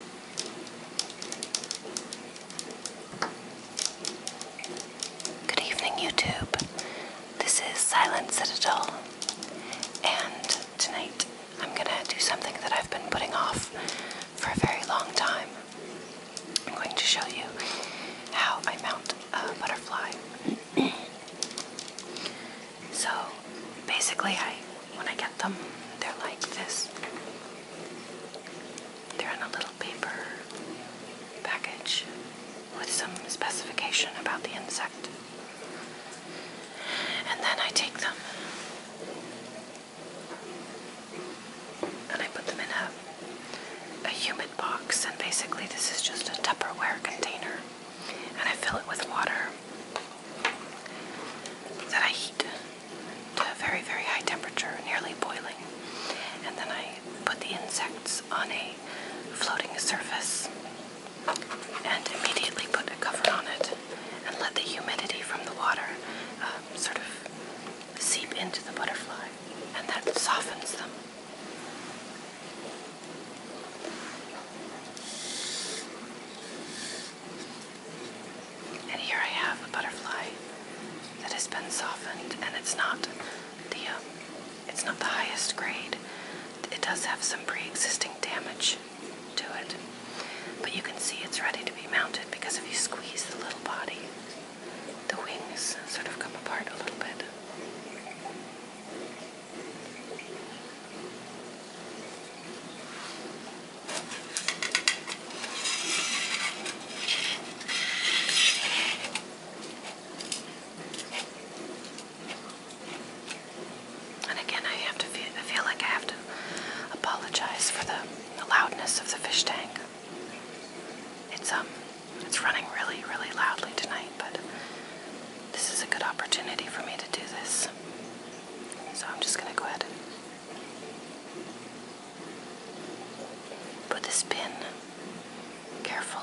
Good evening, YouTube. This is Silent Citadel, and tonight I'm going to do something that I've been putting off for a very long time. I'm going to show you how I mount a butterfly. so, basically, I when I get them. They're like this. They're in a little paper package with some specification about the insect. And then I take them and I put them in a, a humid box. And basically, this is just a Tupperware container. And I fill it with water that I heat to a very, very high temperature, nearly boiling. And then I put the insects on a floating surface and immediately put a cover on it and let the humidity from the water um, sort of seep into the butterfly, and that softens them. And here I have a butterfly that has been softened, and it's not the um, it's not the highest grade. It does have some pre-existing damage to it, but you can see it's ready to be mounted because if you squeeze the little body, the wings sort of come apart a little bit. And again, I have to feel, I feel like I have to apologize for the, loudness of the fish tank. It's um, it's running really, really loudly tonight, but this is a good opportunity for me to do this. So I'm just going to go ahead and put this pin carefully.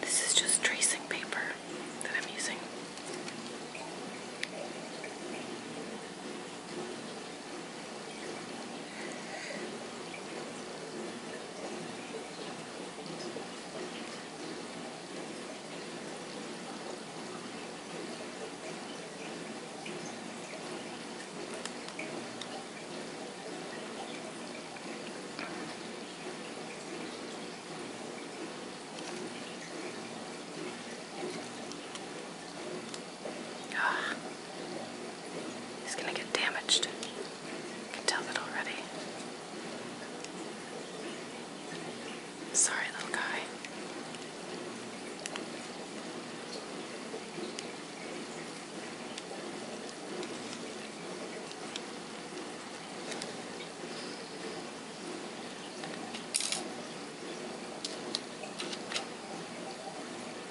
This is just tracing paper that I'm using. Ah, it's gonna get damaged. I can tell that already. Sorry, little guy.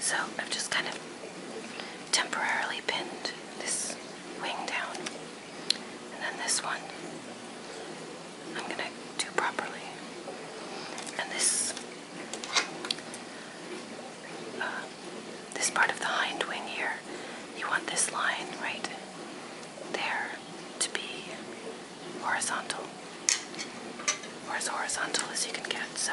So I've just kind of temporarily pinned this wing down and then this one I'm going to do properly. And this uh, this part of the hind wing here. You want this line right there to be horizontal, or as horizontal as you can get. So.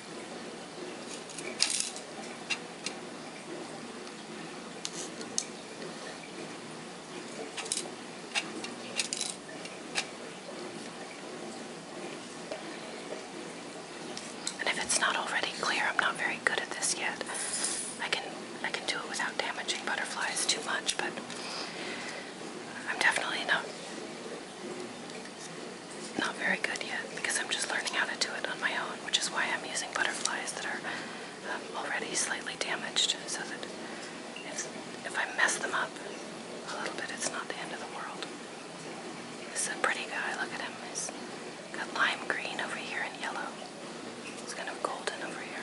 And if it's not already clear, I'm not very good at this yet. I can I can do it without damaging butterflies too much, but I'm definitely not not very good yet because I'm just learning how to do it on my own, which is why I'm using butterflies that are um, already slightly damaged so that if, if I mess them up a little bit, it's not the end of the world. This is a pretty guy. Look at him. He's got lime green over here and yellow. He's kind of golden over here.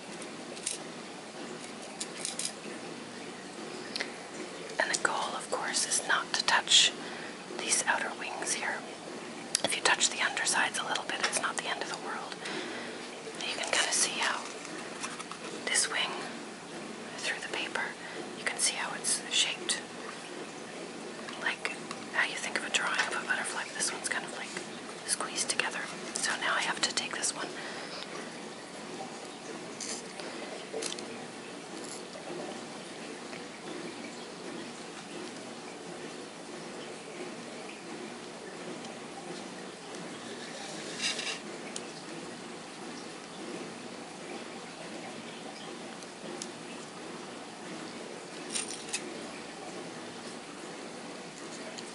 And the goal, of course, is not to touch these outer wings here. If you touch the undersides a little bit, it's not the end of the world. You can kind of see how this wing, through the paper, you can see how it's shaped. Like how you think of a drawing of a butterfly, this one's kind of like squeezed together. So now I have to take this one.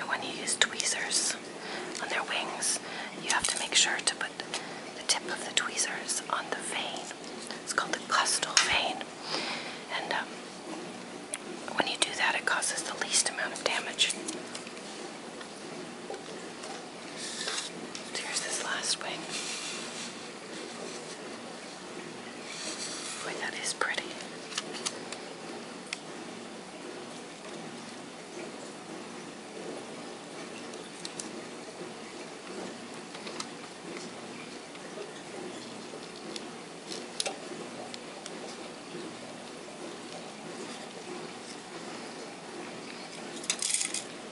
And when you use tweezers on their wings, you have to make sure to put the tip of the tweezers on the vein. It's called the costal vein. And um, when you do that, it causes the least amount of damage here's this last wing. Boy, that is pretty.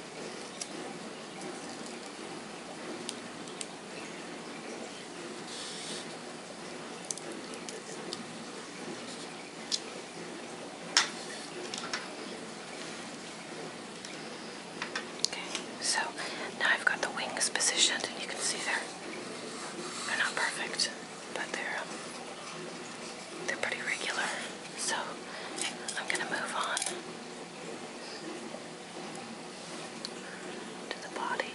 Okay, so now I've got the wings positioned, and you can see they're not perfect, but they're um, they're pretty regular. So I'm gonna move on the body,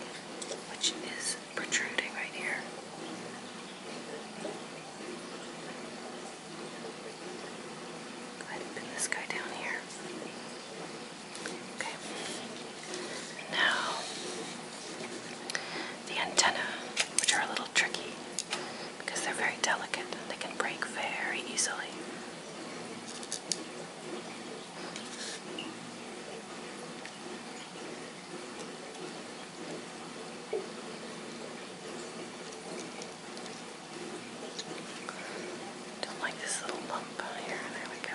which is protruding right here. I'd pin this guy down here. Okay. Now, the antennae, which are a little tricky because they're very delicate and they can break very easily. Don't like this little lump on here. There we go.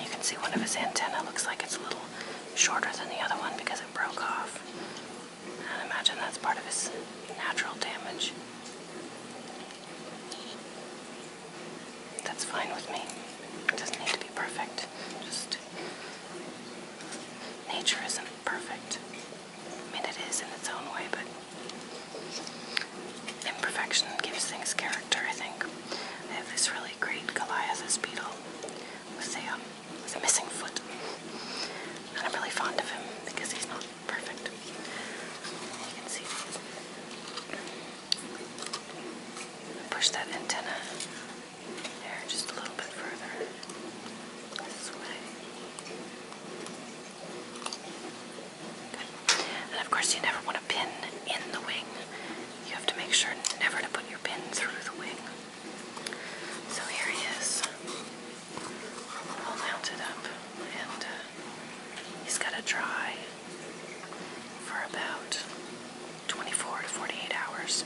you can see one of his antennae looks like it's a little shorter than the other one because it broke off. I imagine that's part of his natural damage. That's fine with me. doesn't need to be perfect. Just nature isn't perfect. I mean, it is in its own way, but imperfection gives things character, I think. I have this really great Goliath's beetle with a, um, a missing foot. And I'm really fond of him because he's not perfect. You can see. Push that antenna there just a little bit further this way. And of course, you never want to pin in the wing. You have to make sure never to put your pin through the wing. So here he is, all mounted up, and uh, he's got to dry for about 24 to 48 hours.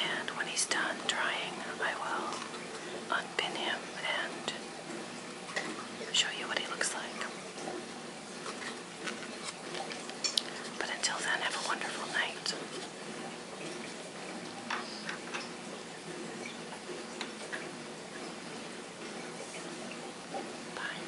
And when he's done drying, I will unpin him and show you what he looks like. But until then, have a wonderful night. Bye.